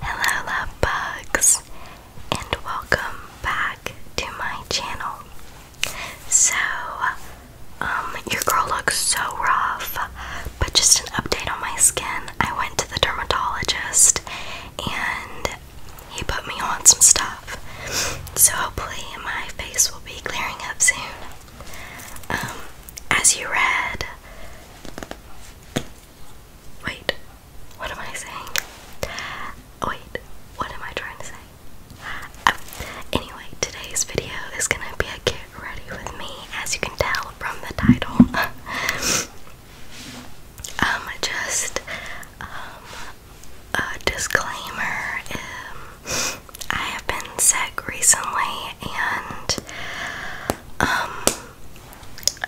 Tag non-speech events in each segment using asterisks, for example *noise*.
Hello love bugs and welcome back to my channel. So um your girl looks so rough but just an update on my skin. I went to the dermatologist and he put me on some stuff. So hopefully my face will be clearing up soon. Um as you read Wait, what am I saying? Wait, what am I trying to say? Oh, anyway, today's video is gonna be a get ready with me, as you can tell from the title. *laughs* um, just um, a disclaimer: um, I have been sick recently, and um,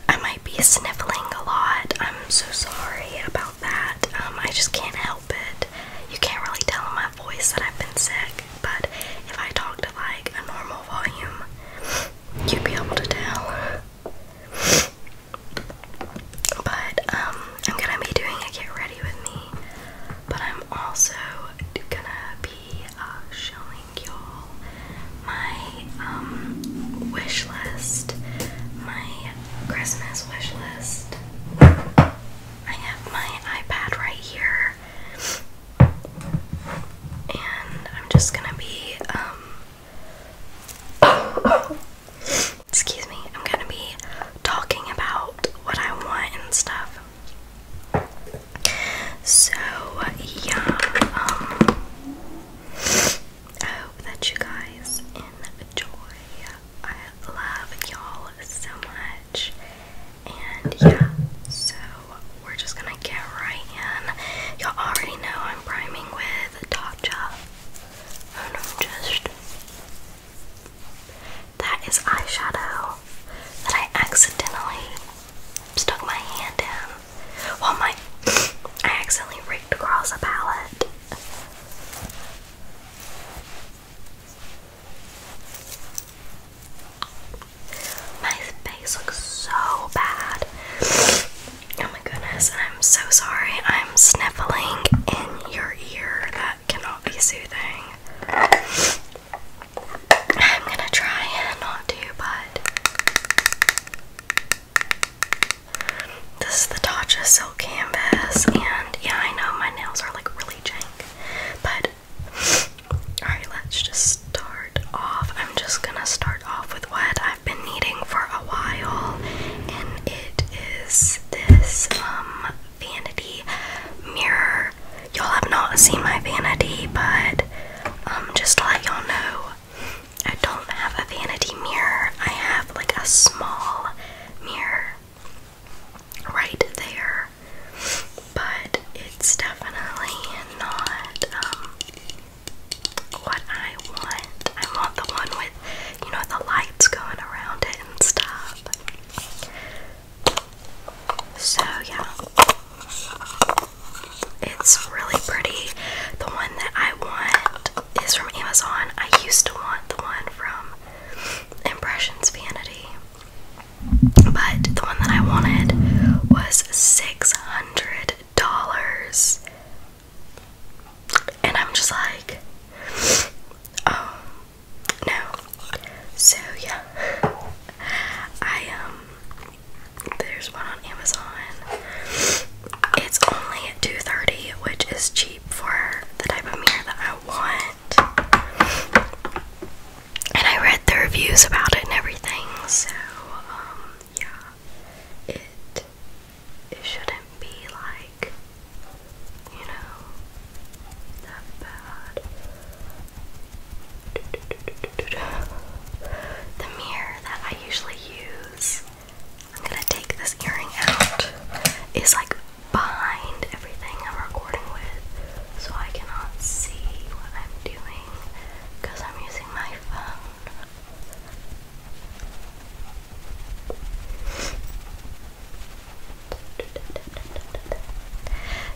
I might be sniffling a lot. I'm so sorry about that. Um, I just can't help it. You can't really tell in my voice that I've been sick, but if I talk to like a normal volume, you'd be able to tell. But um, I'm gonna be doing a get ready with me, but I'm also gonna be uh, showing like y'all my um wish list, my Christmas wish list. I have my iPad right here. And I'm just gonna be um excuse me, I'm gonna be talking about what I want and stuff. So yeah, um, I hope that you guys enjoy. I love y'all so much. And yeah, so we're just gonna get right in. Y'all already know I'm priming with Tatcha. And i just. That is eyeshadow that I accidentally stuck my hand in. Well, my *sniffs* I accidentally ripped across a palette. My face looks so bad. Oh my goodness, I'm so sorry. I'm sniffling in your ear. That cannot be soothing. I'm gonna try and not do, but this is the Tatcha silk canvas, and yeah, I know my nails are like really jank, but *sighs* alright, let's just start off. I'm just gonna start off with what I've been needing for a while, and it is this um, vanity mirror. Y'all have not seen my vanity, but um, just to let y'all know, I don't have a vanity mirror. I have like a small mirror right there, but it's definitely not um, what I want. I want the one with, you know, the lights going around it and stuff. So, yeah. It's really pretty. The one that I want is from Amazon. I used to want the one from Impressions Vanity. But the one that I wanted was $600. And I'm just like, oh, no. So, yeah. I, um, there's one on Amazon. It's only at 230, which is cheap for the type of mirror that I want. And I read the reviews about it and everything, so um, yeah. It it shouldn't be like you know that bad. The mirror that I usually use. I'm gonna take this earring out. It's like behind everything I'm recording with, so I cannot see what I'm doing because I'm using my phone.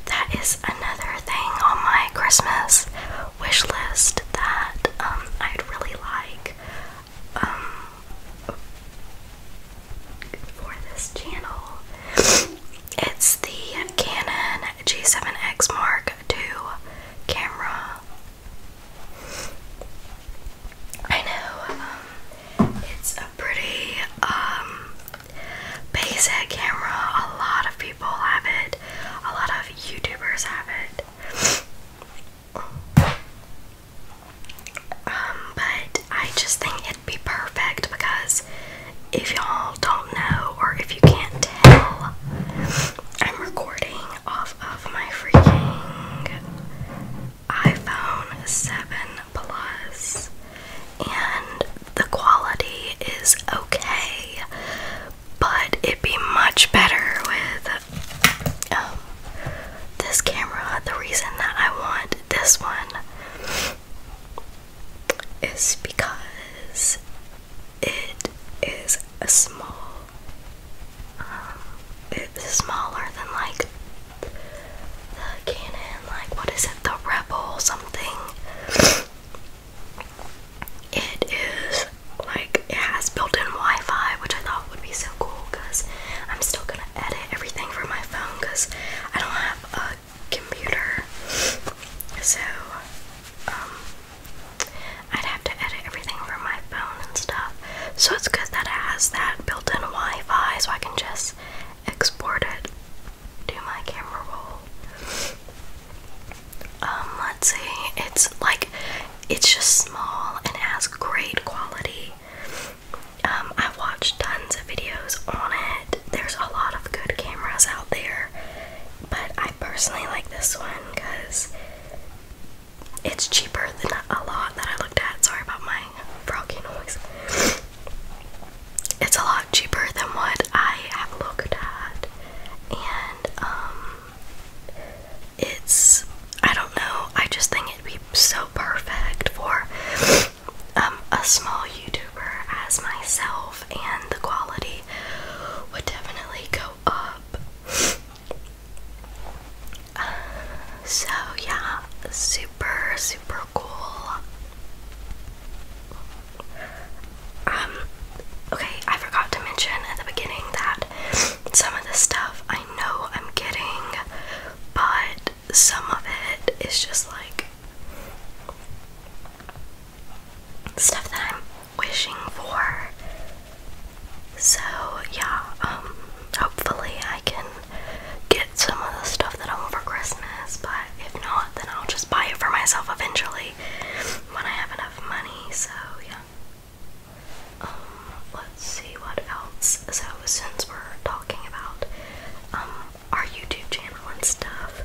That is another thing on my Christmas wish list that um, I'd really like um, for this channel. It's the Canon G7X Mark II camera. I know um, it's a pretty basic camera. A lot of people have it. A lot of YouTubers have it. Um, but I just think it'd be perfect because if y'all don't know or if you can't tell, I'm recording off of my freaking iPhone 7 Plus, and the quality is okay, but it'd be much better with um, this camera. The reason that I want this one is because it is a small, um, it's smaller than like the Canon, like what is it, the Rebel or something. It is like it has built-in Wi-Fi, which I thought would be so cool because I'm still gonna edit everything from my phone because I don't have a computer. So um I'd have to edit everything from my phone and stuff. So it's good that it has that built-in Wi-Fi so I can just export it to my camera roll. Um, let's see. It's like it's just small and has great quality. Um, I've watched tons of videos on it. There's a lot of good cameras out there, but I personally like this one because it's cheaper than a lot that I looked at. Sorry about my froggy noise. It's a lot cheaper than what I have looked at, and um, it's I don't know. I just think it'd be so perfect for um, a small YouTuber as myself, and the quality would definitely go up. so yeah, super super cool. Um, okay, I forgot to mention at the beginning that some of the stuff I know I'm getting, but some of it is just like stuff that I'm wishing for. So, yeah, um, hopefully I can get some of the stuff that I want for Christmas, but if not, then I'll just buy it for myself eventually when I have enough money, so yeah. Um, let's see what else. So since we're talking about um, our YouTube channel and stuff,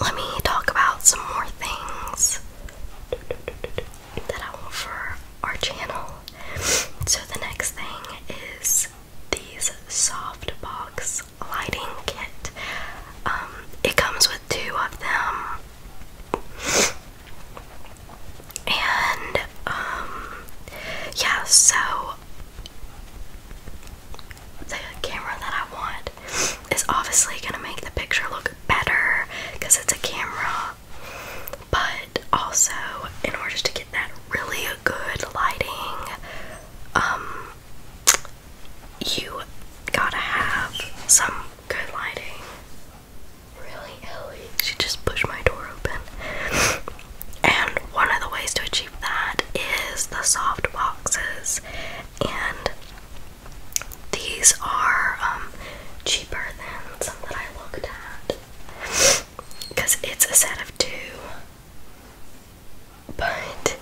let me talk about some more things that I want for our channel. So the next thing is these soft box lighting kit. Um, it comes with two of them. And um yeah, so the camera that I want is obviously gonna make the picture look better because it's a camera, but also in order to get that really good lighting, um, you gotta have some Good lighting. Really, Ellie? She just pushed my door open. and one of the ways to achieve that is the soft boxes. And these are um, cheaper than some that I looked at. Because it's a set of two. But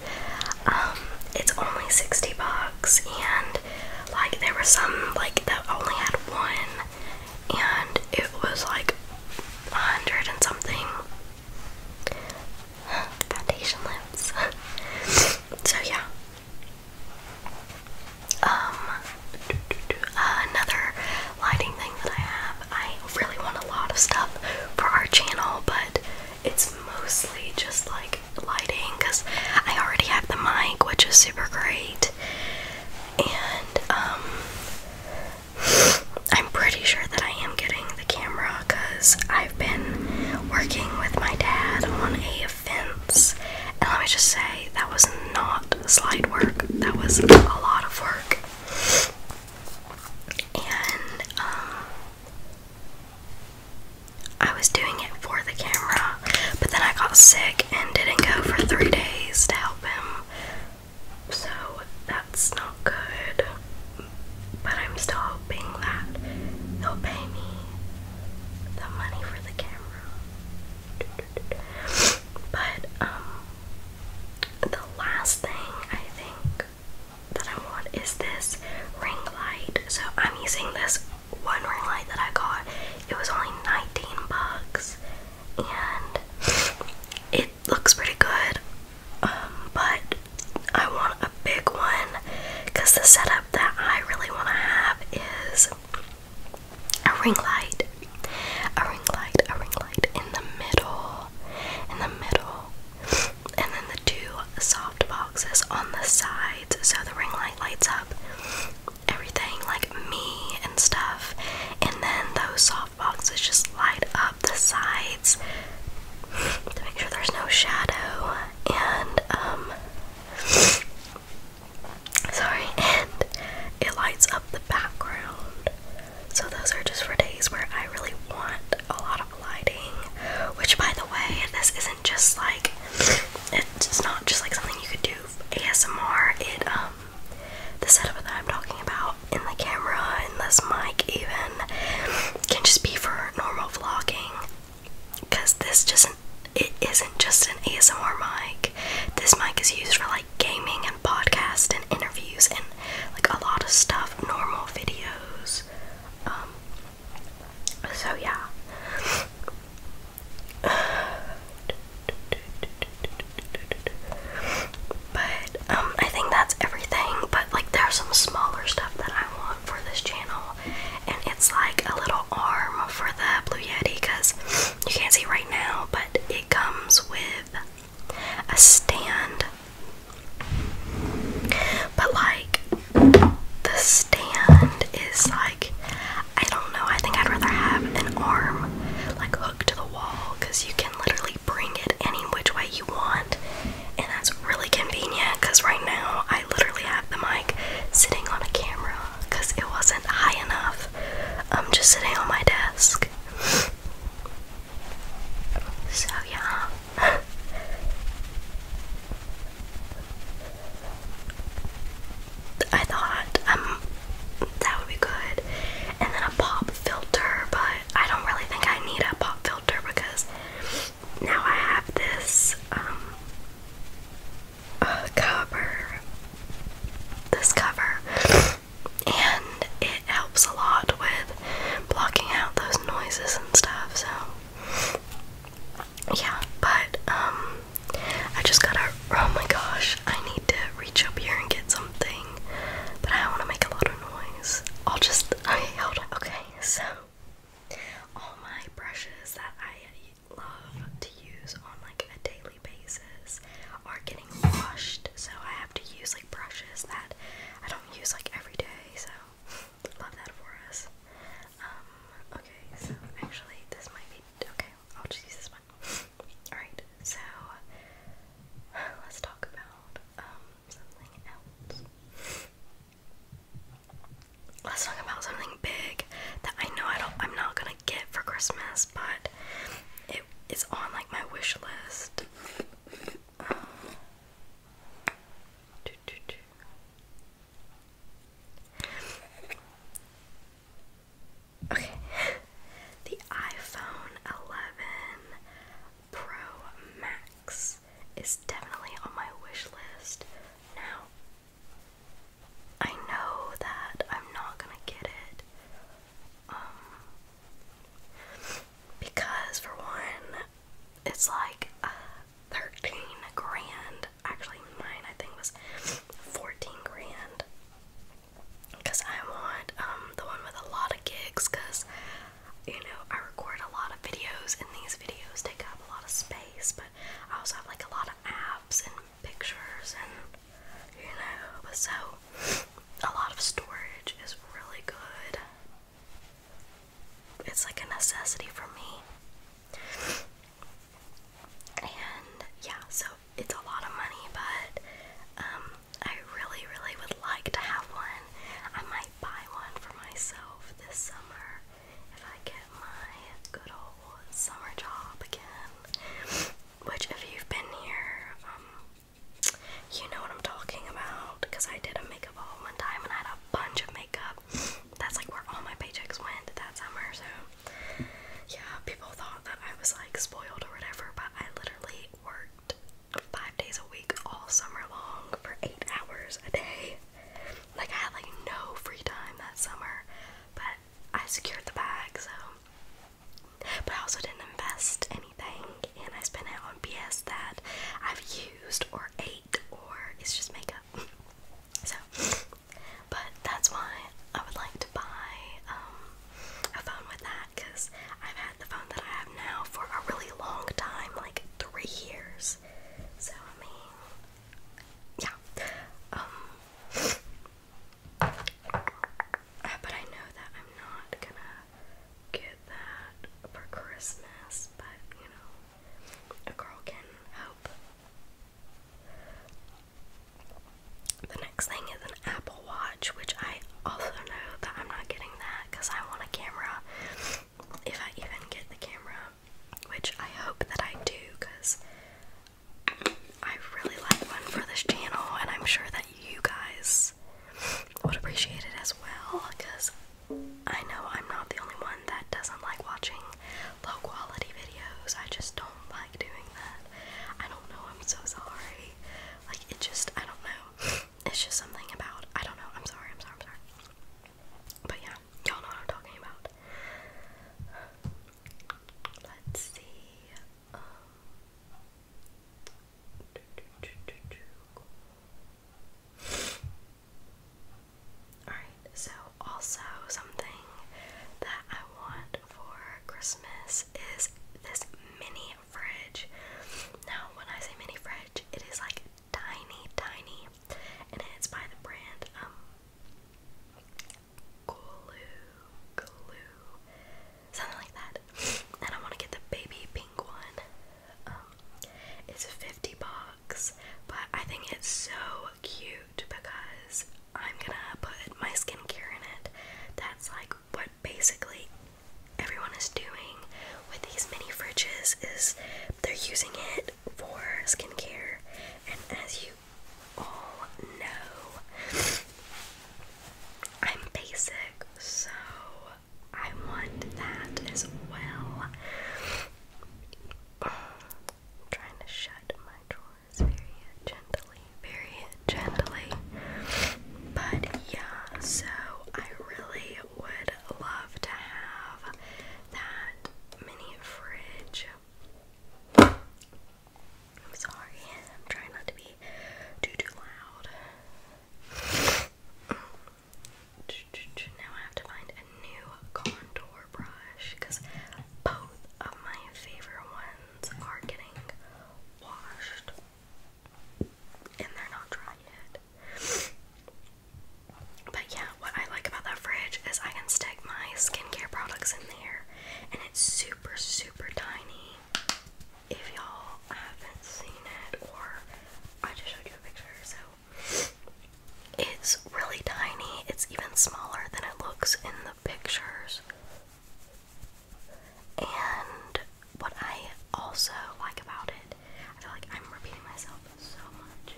um, it's only 60 bucks and like there were some like that only had one and it was like a hundred and something *gasps* foundation lips. *laughs* so yeah. Um another lighting thing that I have. I really want a lot of stuff for our channel, but it's mostly just like lighting because I already have the mic, which is super great. And um, *sighs* I'm pretty sure that I am getting the camera because I've been working with my dad on a fence. And let me just say, that was not slight work, that was a lot of work. And um, I was doing it for the camera, but then I got sick and didn't go for three days to help him. So that's not good. But I'm still hoping that they will pay me the money for the camera. But, um, the last thing I think that I want is this ring light. So I'm using this one ring light that I got, it was only 19 bucks and it looks pretty good. Um, but I want a big one because the setup that I really want to have is a ring light, a ring light, a ring light in the middle, in the middle, and then the two soft boxes on the sides so the ring light lights up everything like me and stuff and then those soft boxes just light up the sides to make sure there's no shadow and um sorry and it lights up the background so those are just for days where I really want a lot of lighting which by the way this is not just like it's not just like something you could do ASMR. It um the setup that I'm talking about in the camera and this mic even can just be for normal vlogging because this just it isn't just an ASMR mic. This mic is used for like gaming and podcast and interviews and like a lot of stuff normal videos um, so yeah. But um I think that's everything, but like there's some smaller stuff that I want for this channel and it's like a little arm for the Blue Yeti cuz you can't see right now, but it comes with a stand. But like the stand is like I don't know, I think I'd rather have an arm like hooked to the wall because you can literally bring it any which way you want, and that's really convenient because right now I literally have the mic sitting on a camera because it wasn't high enough. I'm um, just sitting on my desk. *laughs* So, yeah. *laughs* I thought um that would be good. And then a pop filter, but I don't really think I need a pop filter because now I have this um cover this cover and it helps a lot with blocking out those noises and stuff so yeah, but um, I just gotta. Oh my gosh, I need to reach up here and get something, but I want to make a lot of noise. I'll just. Okay, hold on. Okay, so all my brushes that I love to use on like a daily basis are getting washed, so I have to use like brushes that I don't use like every day. So *laughs* love that for us. Um, okay, so actually this might be okay, I'll just use this one. *laughs* Alright, so *sighs* let's talk about um something else. Let's talk about something big that I know I don't I'm not gonna get for Christmas, but it is on like my wish list. Um, Okay, the iPhone 11 Pro Max is definitely on my wish list now. I know that I'm not gonna get it. Um, because for one, it's like uh, 13 grand. Actually, mine I think was 14 grand. Because I want um, the one with a lot of gigs, because you know, I record a lot of videos, and these videos take up a lot of space, but I also have like a lot of apps and pictures, and you know, so a lot of storage is really good. It's like a necessity for me. And yeah, so it's a lot of money, but um, I really, really would like to have one. I might buy one for myself this summer if I get my good old summer job again. Which, if you've been here, um, you know what I'm talking about because I did a makeup haul one time and I had a bunch of makeup that's like where all my paychecks went that summer. So yeah, people thought that I was like spoiled or whatever, but I literally worked five days a week all summer long for eight hours a day. Like I had like no free time that summer, but I secured the bag. So, but I also didn't invest anything, and I spent it on BS that I've used or ate or it's just makeup. So, but that's why I would like to buy um, a phone with that because I've had the phone that I have now for a really long time like three years. So, I mean, yeah. Um, uh, but I know that I'm not gonna get that for Christmas, but you know, a girl can hope. The next thing is an Apple Watch, which I also know that I'm not getting that because I want a camera. If I even get the camera, which I hope that I do because I really like one for this channel, and I'm sure that you guys would appreciate it as well because I know I'm not the only one that doesn't like watching low quality videos. I just don't like doing that. I don't know, I'm so sorry. Like, it just, I don't know. *laughs* It's just something about, I don't know, I'm sorry, I'm sorry, I'm sorry. But yeah, y'all know what I'm talking about. Let's see. Um. Alright, so also something that I want for Christmas is this mini fridge. Now, when I say mini fridge, it is like tiny, tiny, and it's by the brand, um, Glue, Glue, something like that. And I want to get the baby pink one. Um, it's 50 bucks, but I think it's so cute because I'm gonna put my skincare in it. That's like what basically everyone is doing with these mini fridges is they're using it for skincare and as you all know I'm basic so I want that as well. I'm trying to shut my drawers very gently, very gently. But yeah, so I really would love to have that mini fridge. I'm sorry, I'm trying not to be too too loud. Now I have to find a new contour brush because both of my favorite ones are getting washed and they're not dry yet. But yeah, what I like about that fridge is I can stick my skincare products in there and it's super, super tiny. If y'all haven't seen it, or I just showed you a picture, so it's really tiny. It's even smaller than it looks in the pictures. And what I also like about it, I feel like I'm repeating myself so much,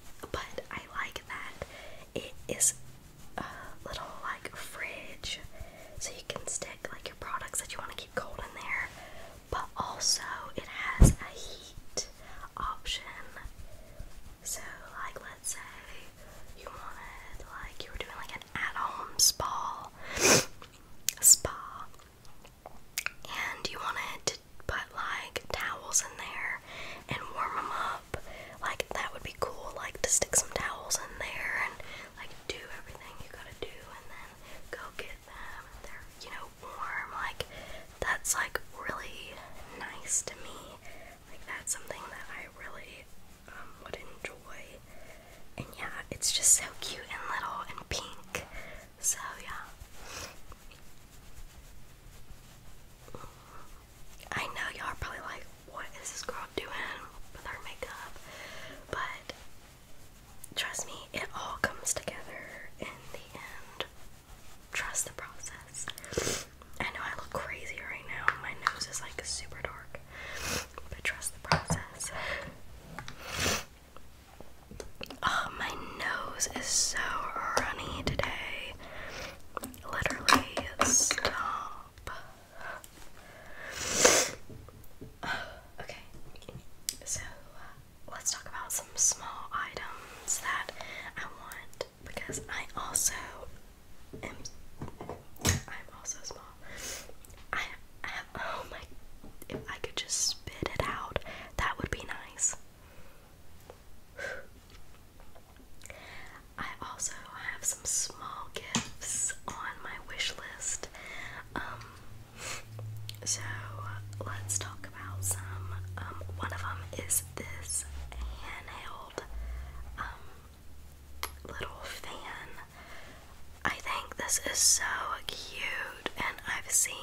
*laughs* but I like that it is a little like fridge, so you can stick like your products that you want to keep cold in there, but also it has a heat option so, like, let's say you wanted, like, you were doing like an at-home spa, *gasps* spa, and you wanted to put like towels in there and warm them up. Like, that would be cool. Like, to stick some towels in there and like do everything you gotta do, and then go get them. They're you know warm. Like, that's like really nice to me. Like that's something that I really um, would enjoy. And yeah, it's just so cute and little and pink. So yeah. I know y'all are probably like, what is this girl doing with her makeup? But trust me, it all comes together in the end trust the process. I know I look crazy right now. My nose is like super dark. But trust the process. Oh, my nose is so runny today. Literally, stop. *sighs* Okay, so uh, let's talk about some small items that I want because I also am I'm also small. I, have oh my if I could just spit it out, that would be nice. I also have some small gifts on my wish list. Um so let's talk um, one of them is this handheld um, little fan. I think this is so cute, and I've seen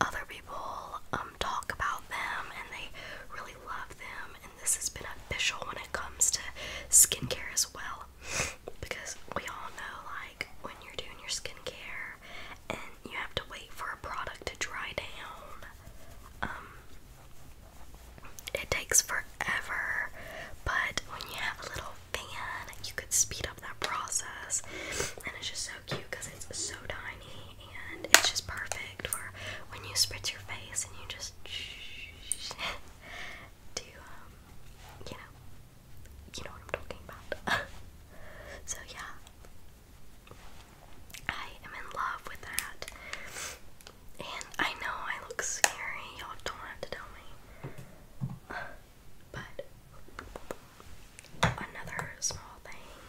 other people um, talk about them, and they really love them. And this has been official when it comes to skincare as well, *laughs* because we all know like when you're doing your skincare and you have to wait for a product to dry down um, it takes forever, but when you have a little fan, you could speed up that process. And it's just so cute because it's so tiny and it's just perfect for when you spritz your face and you just *laughs* do, um, you know, you know what I'm talking about. *laughs* so, yeah, I am in love with that. And I know I look scary, y'all don't have to tell me. But another small thing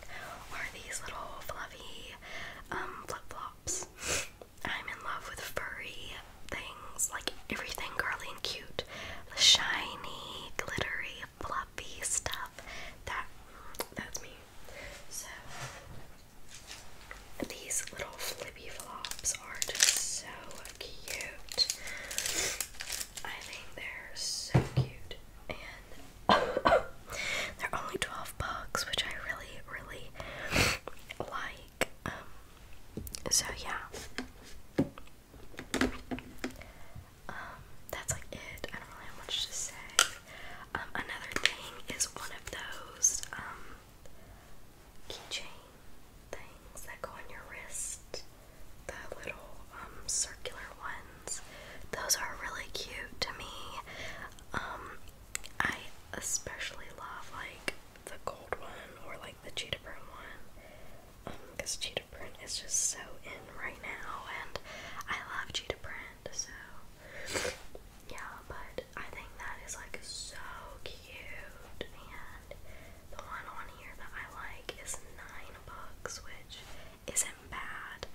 are these little fluffy um, flip flops. I'm in love with furry things, like everything girly and cute. shiny, glittery, fluffy stuff. That that's me. So these little flippy flops are just so cute. I think they're so cute. And *laughs* they're only 12 bucks, which I really, really like. Um, so yeah. Um, that's like it. I don't really have much to say. Um, another thing is one of those um, keychain things that go on your wrist, the little um, circular ones. Those are really cute to me. I especially love like the gold one or like the cheetah print one because cheetah print is just so in right now, and I love cheetah print so yeah, but I think that is like so cute. And the one on here that I like is nine bucks, which isn't bad.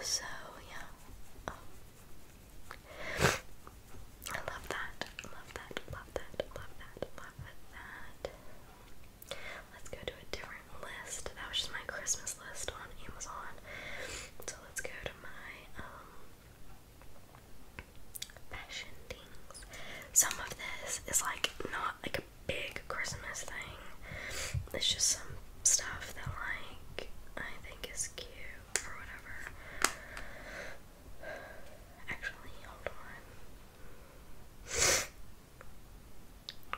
So yeah, um, I love that. Love that. Love that. Love that. Love that. Let's go to a different list. That was just my Christmas list on Amazon. So let's go to my um, fashion things. Some of this is like not like a big Christmas thing. It's just some stuff that like I think is cute or whatever. Actually, hold on. Um,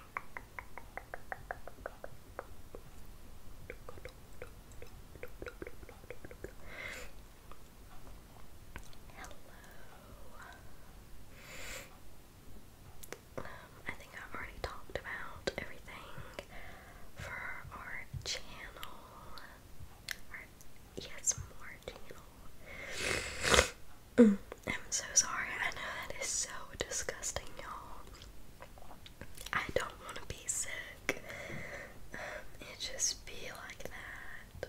I think I've already talked about everything for our channel. Our yes, more channel. Mm, I'm so sorry. I know that is so disgusting, y'all. I don't want to be sick. Um, it just be like that.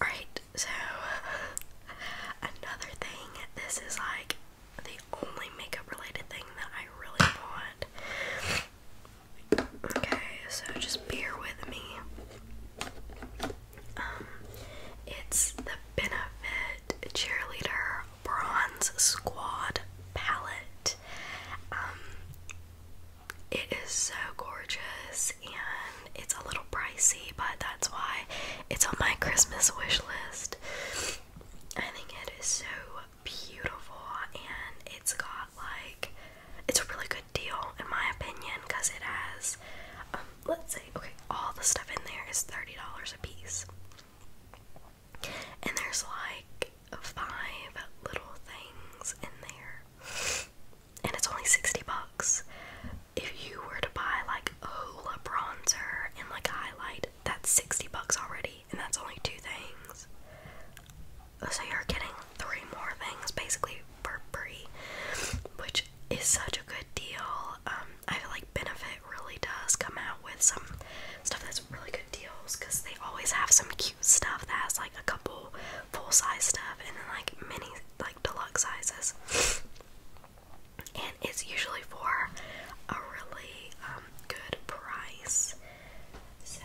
Alright, so *laughs* another thing, this is like the only makeup related thing that I really want. Okay, so just bear with me. Um, it's the Benefit Cheerleader Bronze Squad palette. Um, it is so gorgeous and it's a little pricey, but that's why it's on my Christmas wish list. I think it is so beautiful and it's got like it's a really good deal in my opinion because it has um, let's see, okay all the stuff in there is $30 a piece and there's like five little things in there. And it's only 60 bucks. If you were to buy like a hula bronzer and like a highlight, that's 60 bucks already. And that's only two things. So you're getting three more things basically for free, which is such a good deal. Um, I like Benefit really does come out with some stuff that's really good deals because they always have some cute stuff that has like a couple full size stuff and then like mini like deluxe sizes. and it's usually for a really um, good price. So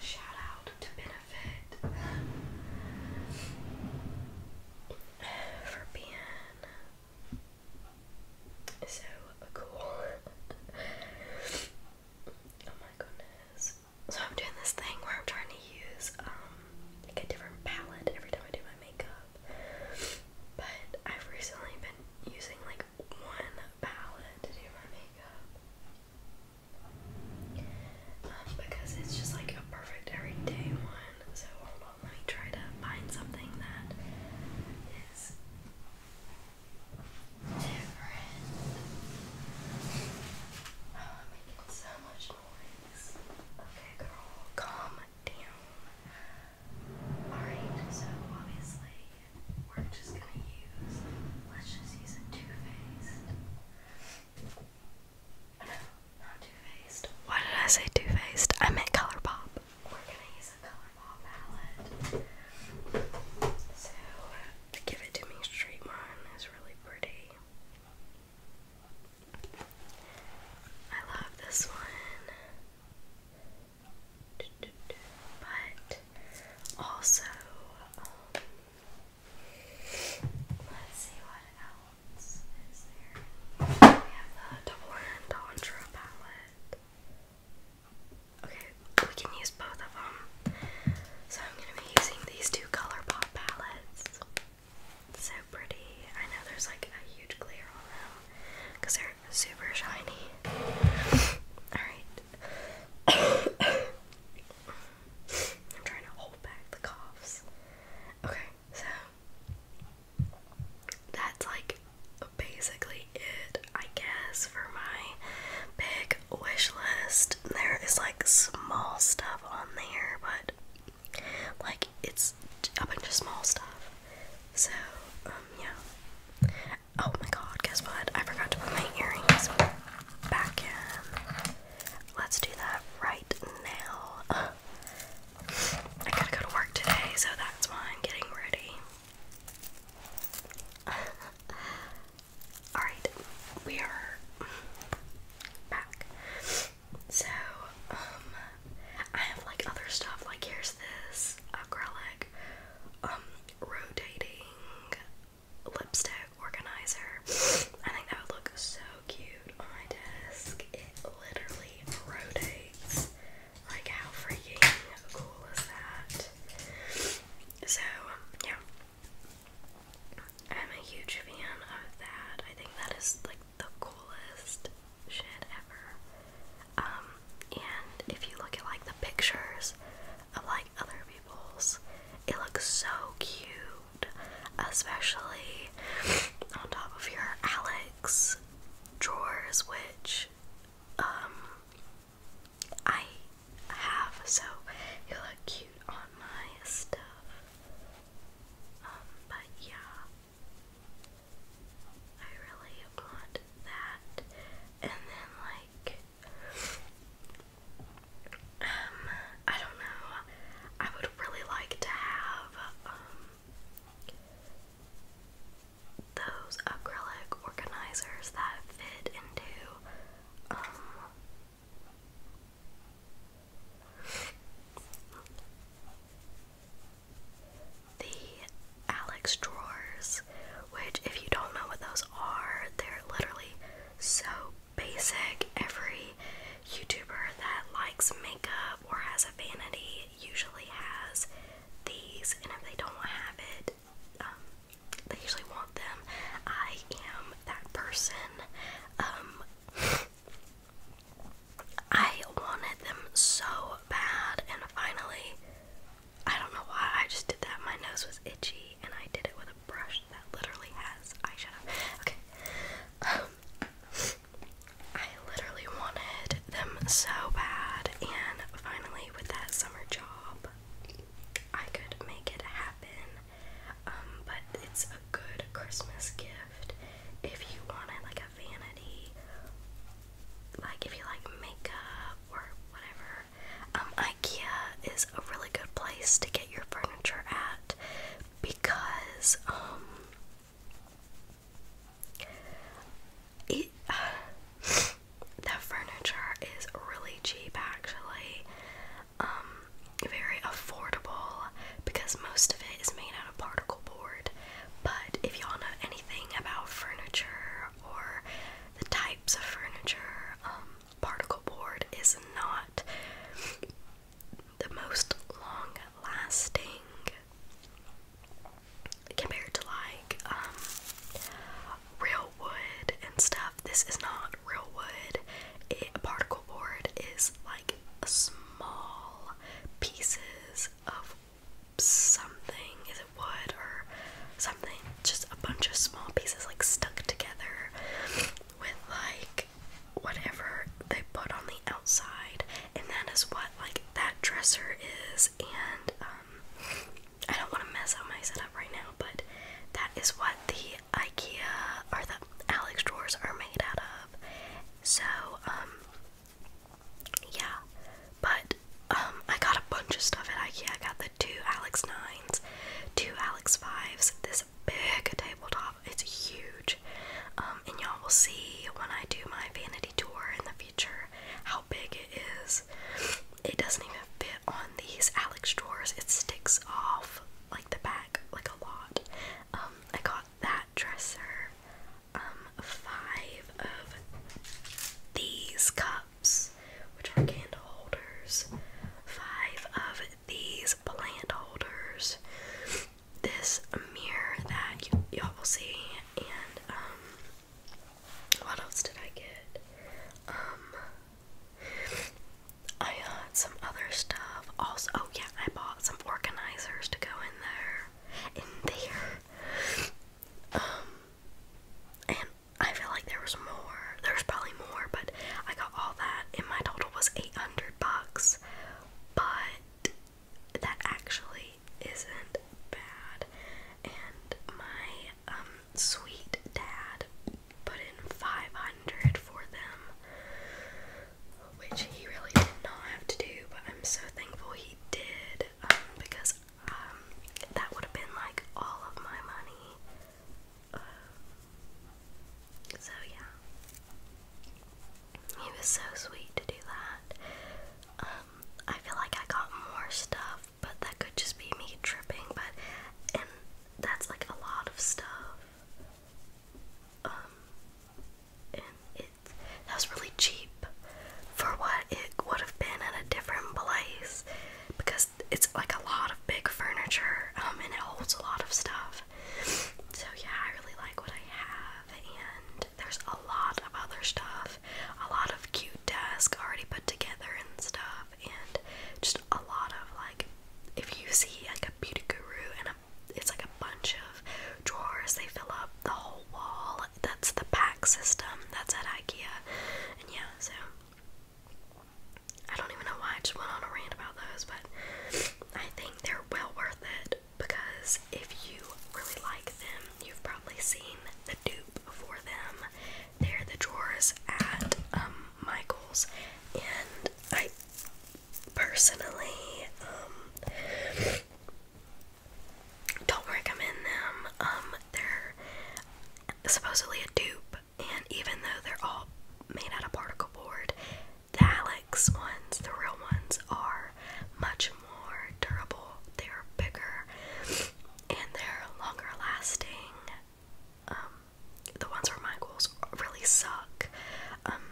shout out to Benefit um, for being so cool. *laughs* oh my goodness. So I'm doing this thing where I'm trying to use um, like a different palette every time I do my makeup. But I've recently been using like one palette to do my makeup. Um, because it's just like a perfect everyday one. So let me try to find something that is different. Oh, I'm making so much noise. Okay, girl, calm down. Alright, so obviously, we're just gonna use, let's just use a Too Faced. No, not Too Faced. Why did I say Too Faced? I meant Colourpop we're gonna use a color ball palette. So Give It To Me Straight one is really pretty. I love this one. But also, um, let's see what else is there. We have the Double Entendre palette. Okay, we can use both of them. So I'm going to be using these two ColourPop palettes. So pretty. I know there's like a huge glare on them because they're super shiny. *laughs* Alright. *coughs* I'm trying to hold back the coughs. Okay, so that's like basically it, I guess, for my big wish list. There is like small stuff on there, but like it's a bunch of small stuff. So, um, yeah. Oh my god, guess what? I forgot to put my earrings back in. Let's do that right now. I gotta go to work today, so that's why I'm getting ready. *laughs* Alright, we are back. So, um, I have like other stuff, like here's this acrylic, um, rotating lipstick organizer. I think that would look so cute on my desk. It literally rotates like, how freaking cool is that? So, yeah. I'm a huge fan of that. I think that is like the coolest shit ever. Um, and if you look at like the pictures of like other people's, it looks so cute, especially on top of your Alex drawers, which um I have, so you look cute on my stuff. Um, but yeah, I really want that. And then like, um, I don't know. I would really like to have um those acrylic organizers that fit into um, the Alex drawers, which, if you don't know what those are, they're literally so basic. Every YouTuber that likes makeup or has a vanity usually has these, and if they don't have it, um, they usually want them. I am that person. Um, *laughs* I wanted them so bad, and finally, I don't know why, I just did that. My nose was itchy, and I did it with a brush that literally has eyeshadow. Okay. Um, I literally wanted them so bad, and finally, with that summer job, I could make it happen. Um, but it's a good Christmas gift if you wanted like a vanity, like if you like makeup or whatever. Um, IKEA is a really good place to get your furniture at because, um, it *sighs* the furniture is really cheap actually. Um, very affordable because most of it is made out of particle board. But if y'all know anything about furniture or the types of furniture, um, particle board is not the most long lasting compared to like um, real wood and stuff this is not real wood particle board is like small pieces of something is it wood or something just a bunch of small pieces like stuck together with like whatever they put on the outside and that is what like that dresser is and um, I don't want to mess up my setup right now, but that is what the IKEA or the Alex drawers are made out of. So, um, yeah, but um, I got a bunch of stuff at IKEA. I got the two Alex 9s, two Alex 5s, this big tabletop. It's huge. and y'all will see when I do my vanity tour in the future how big it is. It doesn't even fit on these Alex drawers. It sticks off like the back like a lot. Um, I got that dresser. Um, five of these cups, which are candle holders. Five of these plant holders. This mirror that y'all will see, and um, what else did I get? Um, I got uh, some other stuff. Also, oh yeah, I bought some organizers to go in there. In there. Um, and I feel like there was more. There's probably more, but I got all that, and my total was 800 bucks. But that actually isn't bad. And my um, sweet dad put in 500 for them, which he really did not have to do, but I'm so thankful he did um, because um, that would have been like all of my money. so, yeah. He was so sweet to do that. Um, I feel like I got more stuff, but that could just be me tripping, but and that's like a lot of stuff. Um, and it that was really cheap for what it would have been at a different place because it's like a lot of big furniture um and it holds a lot of stuff. So yeah, I really like what I have and there's a lot of other stuff have a lot of cute desks already put together and stuff, and just a lot of like, if you see like a beauty guru and a, it's like a bunch of drawers, they fill up the whole wall. That's the pack system. That's at IKEA, and yeah, so. I don't even know why I just went on a rant about those, but I think they're well worth it because if you really like them, you've probably probably seen the dupe for them. They're the drawers at um, Michael's, and I personally um, don't recommend them. Um, they're supposedly a dupe, and even though they're all made out of particle board, the Alex ones, the real ones, are much more durable, they are bigger, and they're longer lasting. Um, the ones from Michaels really suck. Um,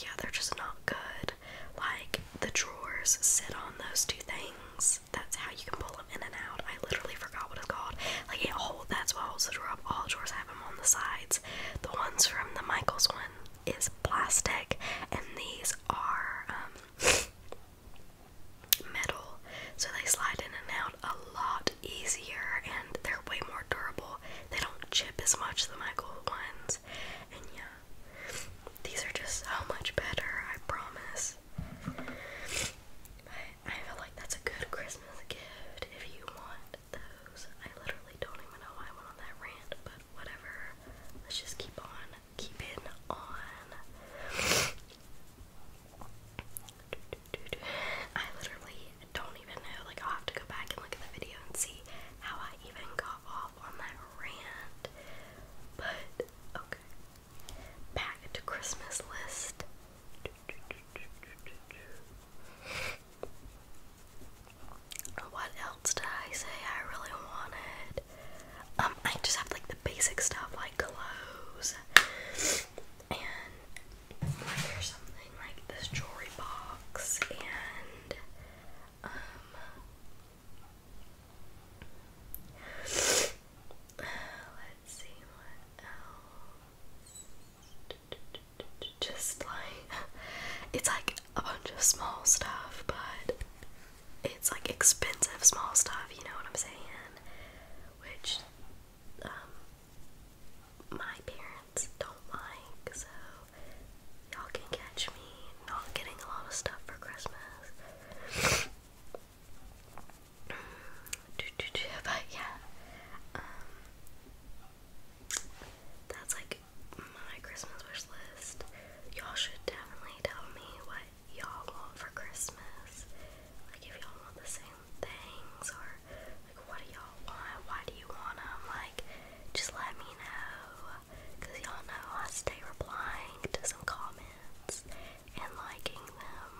yeah, they're just not good. Like, the drawers sit on those two things. That's how you can pull them in and out. I literally forgot what it's called. Like, it holds, that's what holds the drawer up. All drawers have them on the sides. The ones from the Michaels one is plastic, and these are, um, metal, so they slide in and out a lot easier and they're way more durable. They don't chip as much as my Michael ones. And yeah, these are just so much better, I promise. I, I feel like that's a good Christmas gift if you want those. I literally don't even know why I went on that rant, but whatever. Let's just keep on keeping on. I literally don't even know. Like, i have to go back and look at the video and see how I even got off on that rant. But, okay. Back to Christmas list. What else did I say I really wanted? Um, I just have like the basic stuff like clothes and here's something like this jewelry box and um *sighs* let's see what else. *laughs* Just like it's like a bunch of small stuff, but it's like expensive small stuff, you know what I'm saying? Which um my parents don't like, so y'all can catch me not getting a lot of stuff for Christmas. *clears throat* *laughs* but yeah. Um, that's like my Christmas wish list. Y'all should definitely tell me what y'all want for Christmas. Like, if y'all want the same things, or like, what do y'all want? Why do you want them? Like, just let me know. Because y'all know I stay replying to some comments and liking them.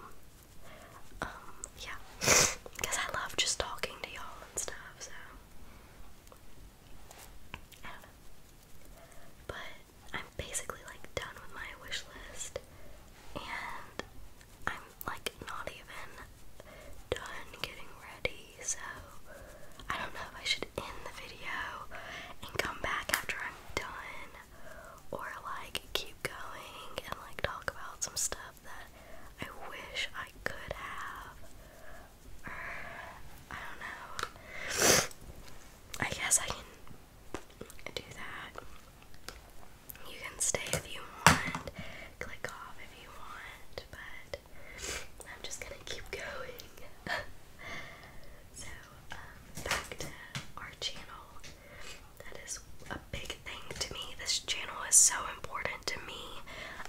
Um, yeah. Because *laughs* I love just talking to y'all and stuff, so. But I'm basically like done with my wish list and I'm like not even done getting ready, so I don't know if I should end the video and come back after I'm done or like keep going and like talk about some stuff that I wish I could have. I don't know. I guess I can do that. You can stay if you want, click off if you want, but I'm just gonna keep going. *laughs* so, um, back to our channel. That is a big thing to me. This channel is so important to me.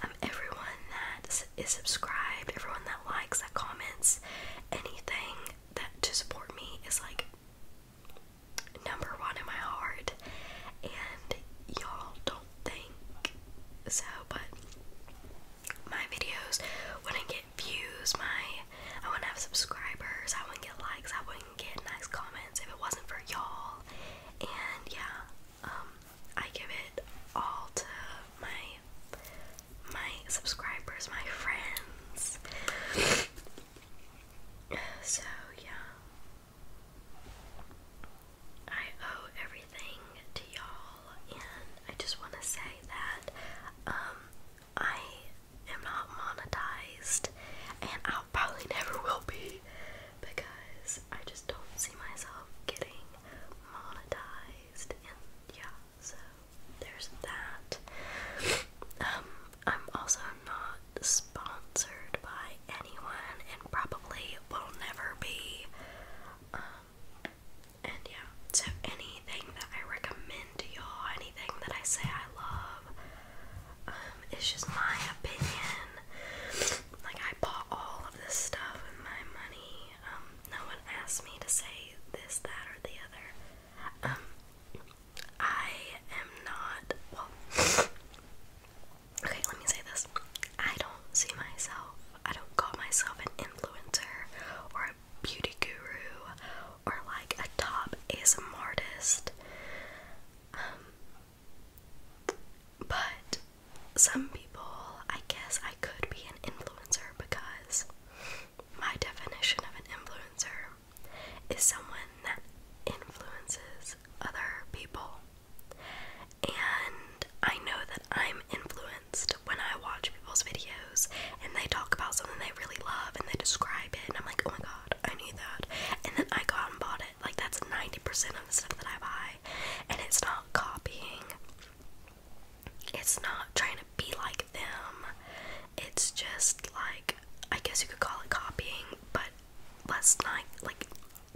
Um, everyone that is subscribed, everyone that likes, that comments, anything that to support me is like number one in my heart, and y'all don't think so, but my videos when I get views, my I wouldn't have subscribers, I wouldn't get likes, I wouldn't get nice comments if it wasn't for y'all. And yeah, um I give it all to my my subscribers, my friends. so, yeah. I owe everything to y'all, and I just want to say that um, I am not monetized, and I probably never will be because I just don't see myself getting monetized. And yeah, so there's that. Um, I'm also not sponsored by anyone and probably will never be. Um, and yeah, so anything that I recommend to y'all, anything that I say I love, um, it's just my opinion. Like, I bought all of this stuff with my money. Um, no one asked me to say this, that, or the other. Um, I am not. okay, let me say this. I don't see myself, I don't call myself an influencer or a beauty guru or like a top ASM artist. Um, but some people, I guess I could be an influencer because my definition of an influencer is someone that influences other people. And I know that I'm influenced when I watch people's videos and they talk about something they really love and they describe it, and I'm like, oh my god, I need that. And then I got and bought it. Like, that's 90% of the stuff that I buy. And it's not copying, it's not trying to be like them. It's just like I guess you could call it copying, but let's not like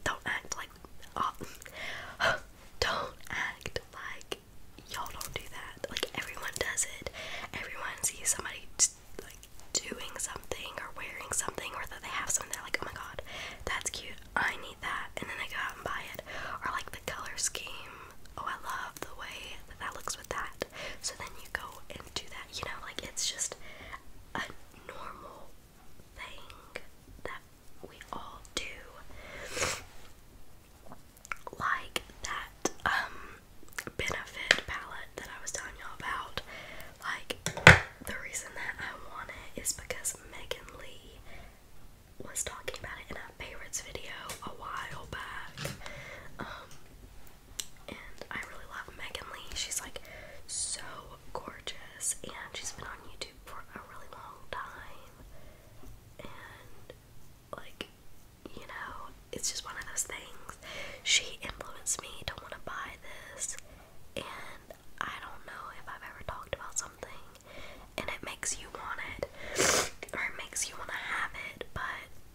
don't act like oh, *gasps* don't act like y'all don't do that. Like everyone does it. Everyone sees somebody like doing something or wearing something or that they have something they're like, oh my god, that's cute. I need that, and then they go out and buy it. Or like the color scheme. Oh, I love the way that looks with that. So then you go and do that, you know, like it's just a normal thing that we all do. Like that um benefit palette that I was telling y'all about. Like the reason that I want it is because Megan Lee was talking about it and I favorites video a while back. Um, and I really love Megan Lee. She's like so gorgeous, and she's been on YouTube for a really long time. And like, you know, it's just one of those things. She influenced me to want to buy this, and I don't know if I've ever talked about something, and it makes you want it, or it makes you want to have it, but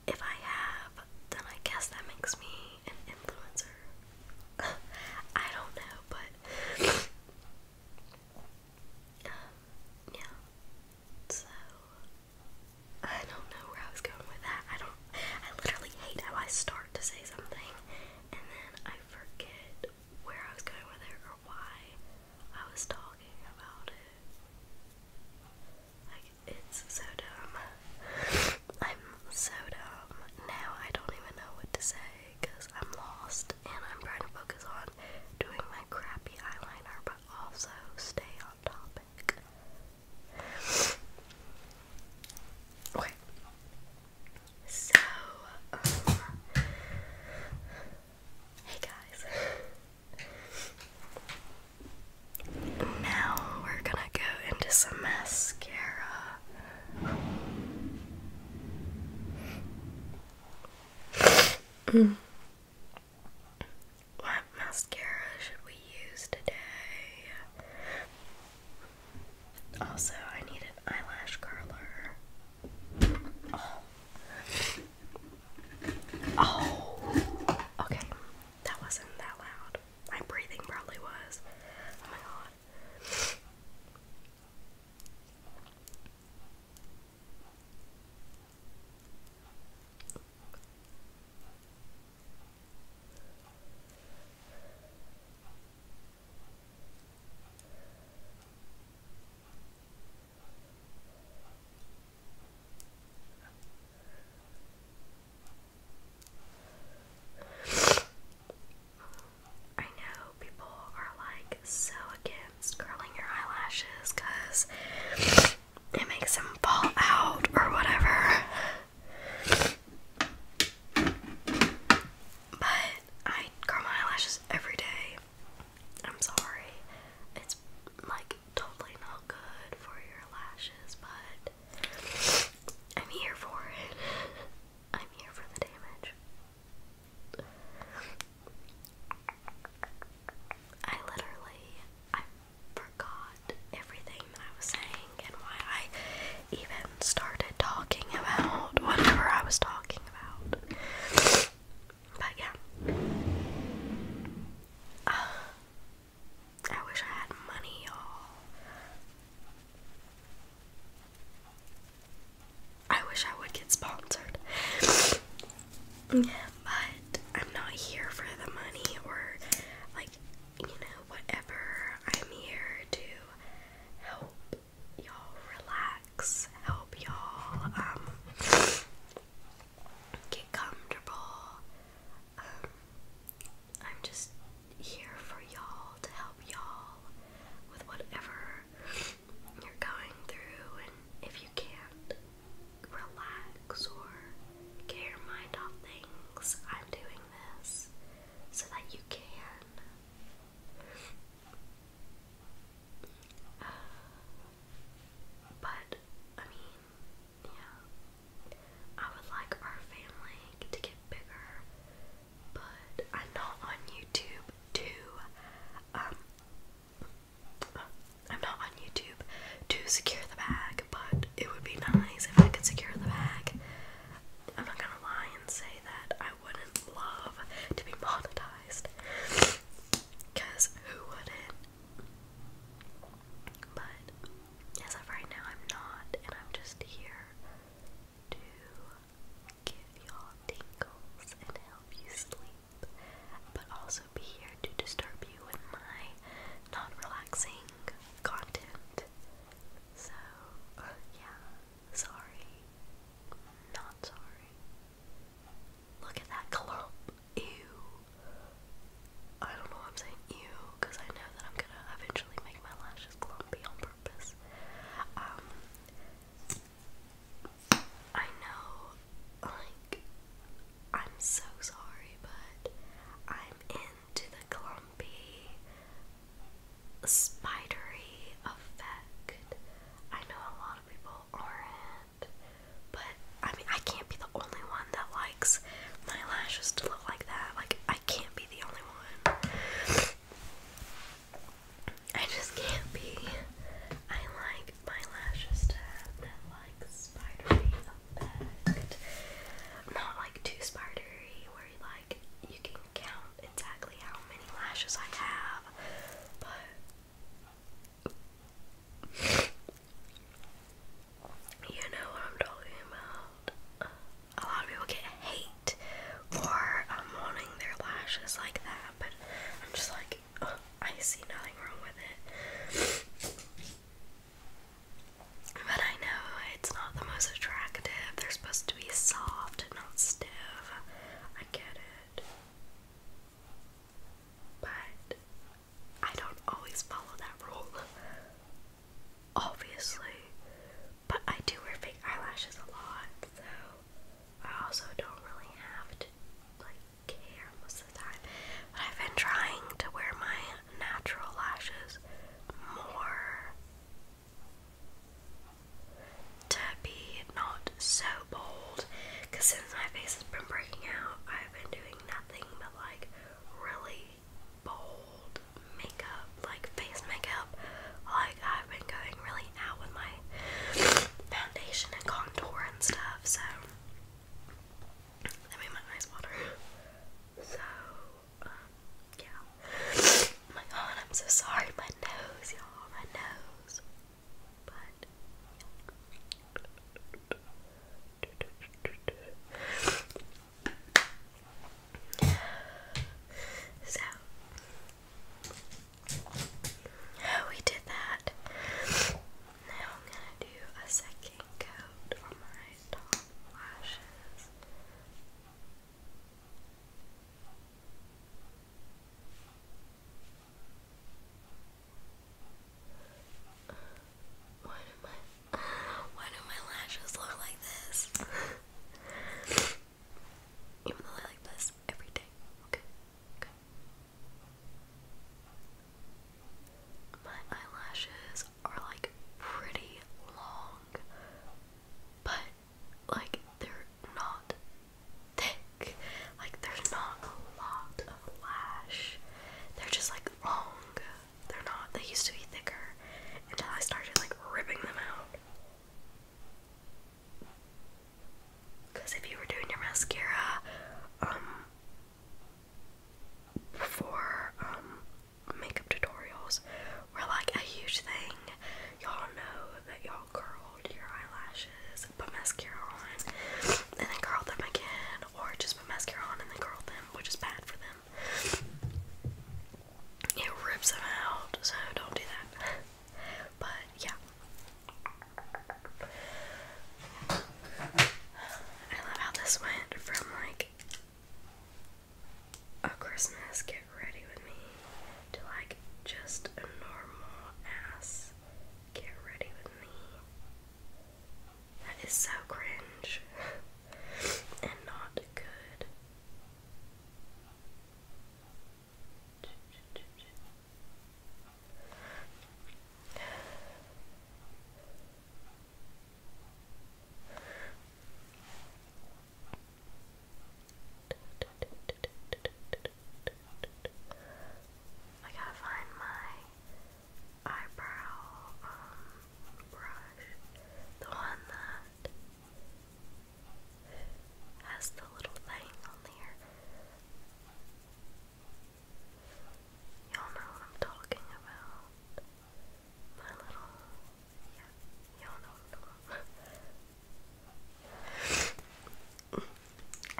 if I have, then I guess that makes me an influencer. *laughs* I don't know, but um, yeah. So I don't know where I was going with that. I don't. I literally hate how I start to say something and then I forget where I was going with it or why I was talking about it. Like, it's so dumb. I'm so dumb. Now I don't even know what to say because I'm lost and I'm trying to focus on doing my crappy eyeliner but also stay on topic. Okay. So, um, hey guys. Now we're gonna go into some mascara. Mm. What mascara should we use today? Also, I need an eyelash curler. Oh, okay. That wasn't that loud. My breathing probably was. Oh my god. I know people are like so against curling your eyelashes because it makes them fall out or whatever. But I curl my eyelashes every day. I'm sorry. It's like totally not good for your lashes, but I'm here for it. *laughs* I'm here for the damage. I literally I forgot everything I was saying and why I even started talking about *laughs* whatever I was talking about. But yeah. Ah. I wish I had money, y'all. I wish I would get sponsored. yeah, but I'm not here for the money or, like, you know, whatever. I'm here to help y'all relax, help y'all, um, get comfortable. Um, I'm just here for y'all to help y'all with whatever you're going through, and if you can't relax or get your mind off things, I'm doing this so that you can. Uh, but I mean, yeah. I would like our family to get bigger, but I'm not on YouTube to um I'm not on YouTube to secure the bag, but it would be nice if I could secure the bag. I'm not gonna lie and say that I wouldn't love to be monetized. Cause who wouldn't? But as of right now, I'm not, and I'm just here to give y'all tingles and help you sleep, but also be here to disturb you with my not relaxing content. So, uh, yeah, sorry. Not sorry. Look at that clump. Ew. I don't know why I'm saying ew, because I know that I'm gonna eventually make my lashes clumpy on purpose. Um, I know, like, I'm so sorry, but I'm into the clumpy, spidery effect. I know a lot of people aren't. But I mean, I can't be the only one that likes my lashes to look like that. Like, I can't be the only one. I just can't be. I like my lashes to have that, like, spidery effect. Not like too spidery, where you like you can count exactly how many lashes I have, but you know what I'm talking about. A lot of people get hate for um, their lashes like that, but I'm just like, I see nothing wrong with it. But I know it's not the most attractive. They're supposed to be soft and not stiff. I get it. But I don't always follow that rule. *laughs* Obviously. But I do wear fake eyelashes a lot, so I also don't really have to like care most of the time. But I've been trying to wear my natural lashes more to be not so bold. Cause since my face has been breaking out, I've been doing nothing but like really bold makeup, like face makeup. Like I've been going really out with my foundation and contour and stuff, so that made my eyes water. So um, yeah. my God, I'm so sorry. My nose, y'all. My nose. So oh, we did that. Now I'm gonna do a second coat on my top lashes. Why do my why do my lashes look like this? Even though I like this every day. My eyelashes are like pretty long, but like they're not thick. Like there's not a lot lash. They're just like long. They're not, they used to be thicker until I started like ripping them out. Because if you were doing your mascara, um, for um, makeup tutorials were like a huge thing. Y'all know that y'all curled your eyelashes, put mascara on, and then curled them again, or just put mascara on and then curl them, which is bad for them. It rips them out, so don't do that. But yeah. I love how this went from like a Christmas get ready with me to like just a normal ass get ready with me. That is so cringe *laughs* and not good. I gotta find my eyebrow um, brush. The one that has the little thing on there. Y'all know what I'm talking about. My little.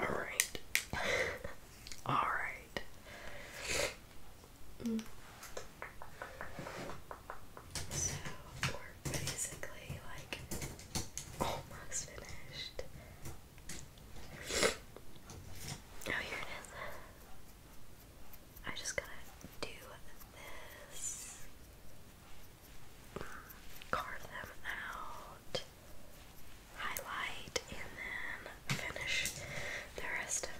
Yeah, y'all know Alright. *laughs* *laughs* Alright. Mm. So we're basically like almost finished. Oh, here it is. I just gotta do this. Carve them out highlight and then finish the rest of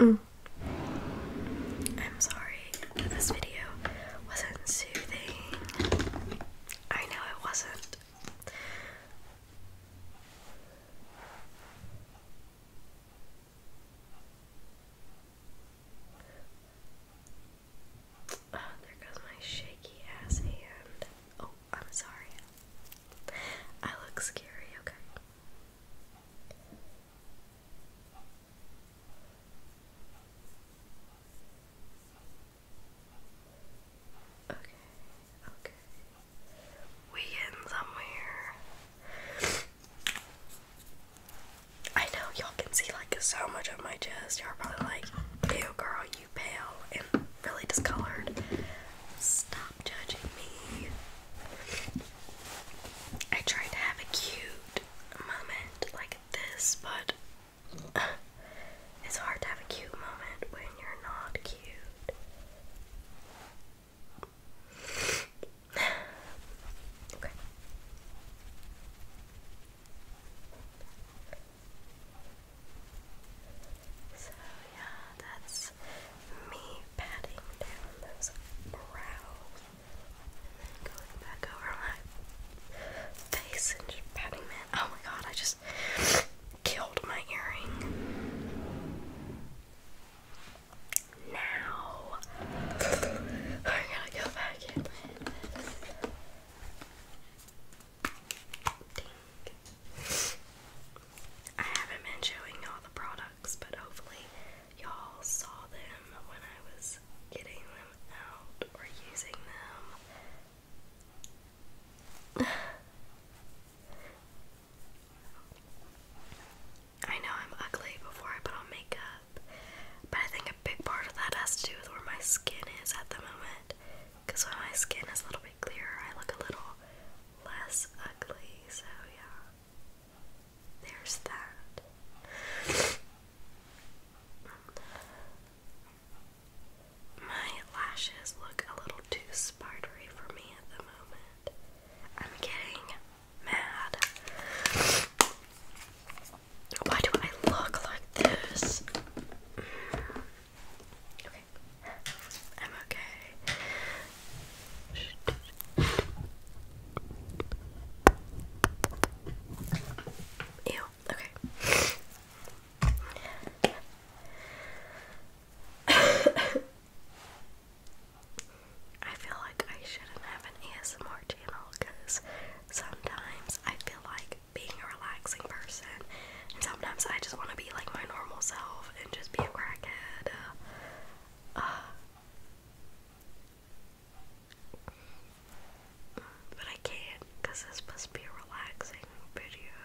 me. Mm. I'm sorry that this video wasn't soothing. I know it wasn't. Oh, there goes my shaky ass hand. Oh. I'm sorry. I look scary, okay? Okay, okay. We in somewhere. I know y'all can see like so much of my chest. Y'all probably like, ew girl, pale and really discolored. Stop judging me. I tried to have a cute moment like this, but uh, it's hard to have a cute moment when you're not cute. *sighs* okay. So yeah, that's me patting down those brows and then going back over my face and just patting it. Oh my god, I just killed my earring. Now *laughs* I'm gonna go back in I haven't been showing all the products, but hopefully y'all saw them when I was getting them out or using them. *sighs* I know I'm ugly before I put on makeup, but I think a big part of that has to do with where my skin is at the moment. Because when my skin is a little bit clearer, I look a little less ugly. So, yeah. There's that. My lashes look a little too spidery for me at the moment. I'm getting mad. Why do I look like this? I'm okay. Ew, okay. I feel like I shouldn't have an ASMR channel because sometimes I feel like being a relaxing person and sometimes I just want to be like my normal self and just be a crackhead. Uh, uh, but I can't because this must be a relaxing video.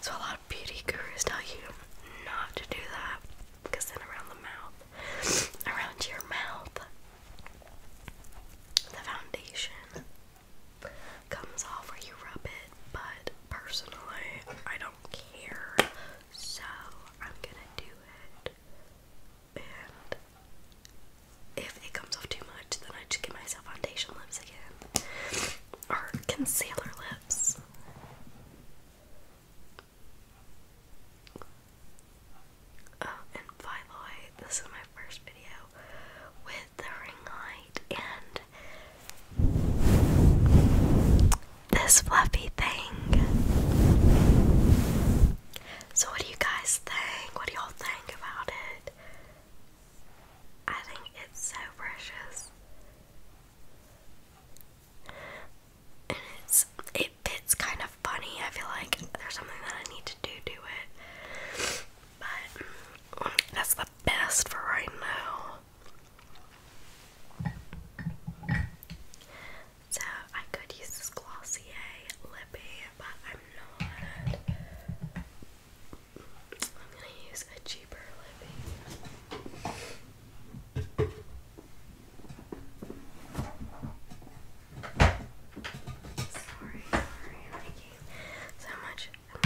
So a lot of beauty gurus tell you not to do that because then around the mouth, around your mouth, the foundation comes off where you rub it, but personally, I don't care, so I'm gonna do it. And if it comes off too much, then I just get myself foundation lips again, or concealer lips. Oh, and by the way, this is my first video with the ring light and this fluffy thing. So, what do you guys think? What do y'all think about it? I think it's so precious. And it's it fits kind of funny. I feel like there's something that I need to do to it. But mm, that's the best for right now. So I could use this Glossier lippy, but I'm not. I'm gonna use a cheaper lippy. Sorry, sorry, I'm so much that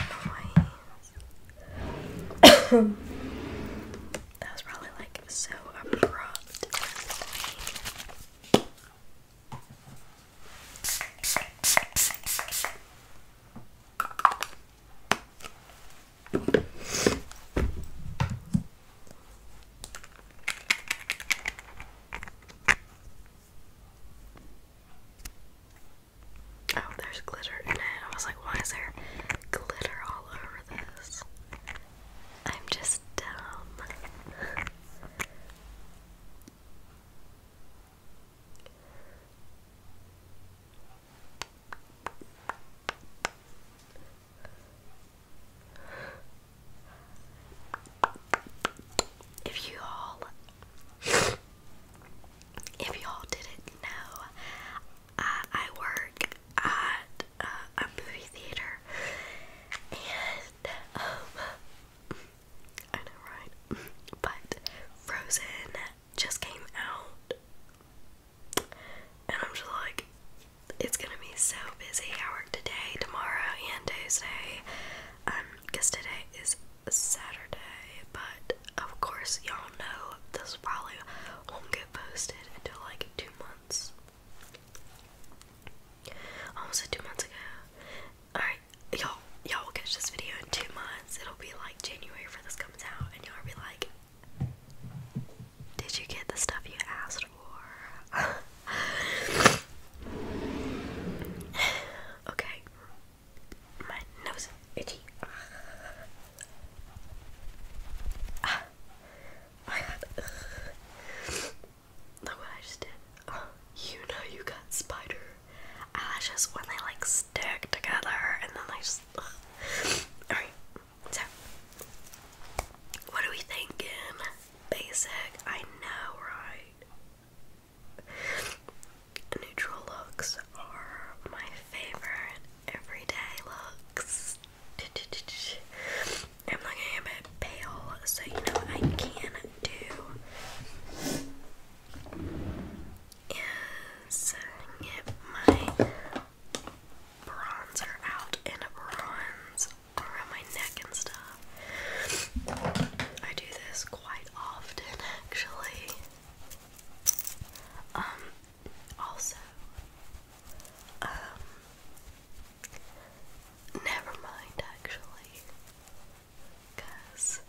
was probably like so abrupt Oh, there's glitter in it. I was like, why is there glitter all over this? I'm just dumb. If you all *sighs* if y'all didn't know, I work at uh, a movie theater, and um, I know, right? *laughs* But Frozen just came out, and I'm just like, it's gonna be so busy. I work today, tomorrow, and Tuesday, um, today is Saturday, but of course, y'all know this probably won't get posted until like two months. Almost two months ago. Alright, y'all y'all will catch this video in two months. It'll be like January for this comes out, and you will be like, Did you get the stuff you asked for? *laughs* okay. My nose itchy. Ah. I ah. I just did. Oh, you know you got spider eyelashes when they like stick together and then they just. Alright, so. What are we thinking? Basic. I know, right? Neutral looks are my favorite everyday looks. I'm looking a bit pale, so you know I can do is my bronzer out and bronze around my neck and stuff. I do this quite often actually. Um, also, um, never mind actually, because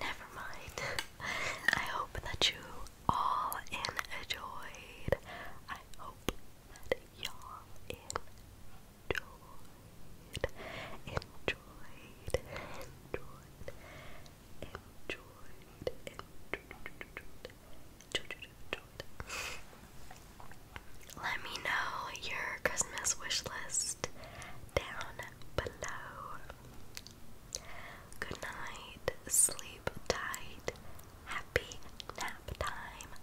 never mind. *laughs* I hope that you all enjoyed. I hope that y'all enjoyed, enjoyed, enjoyed, let me know your Christmas wish list down below. Good night, sleep tight, happy nap time.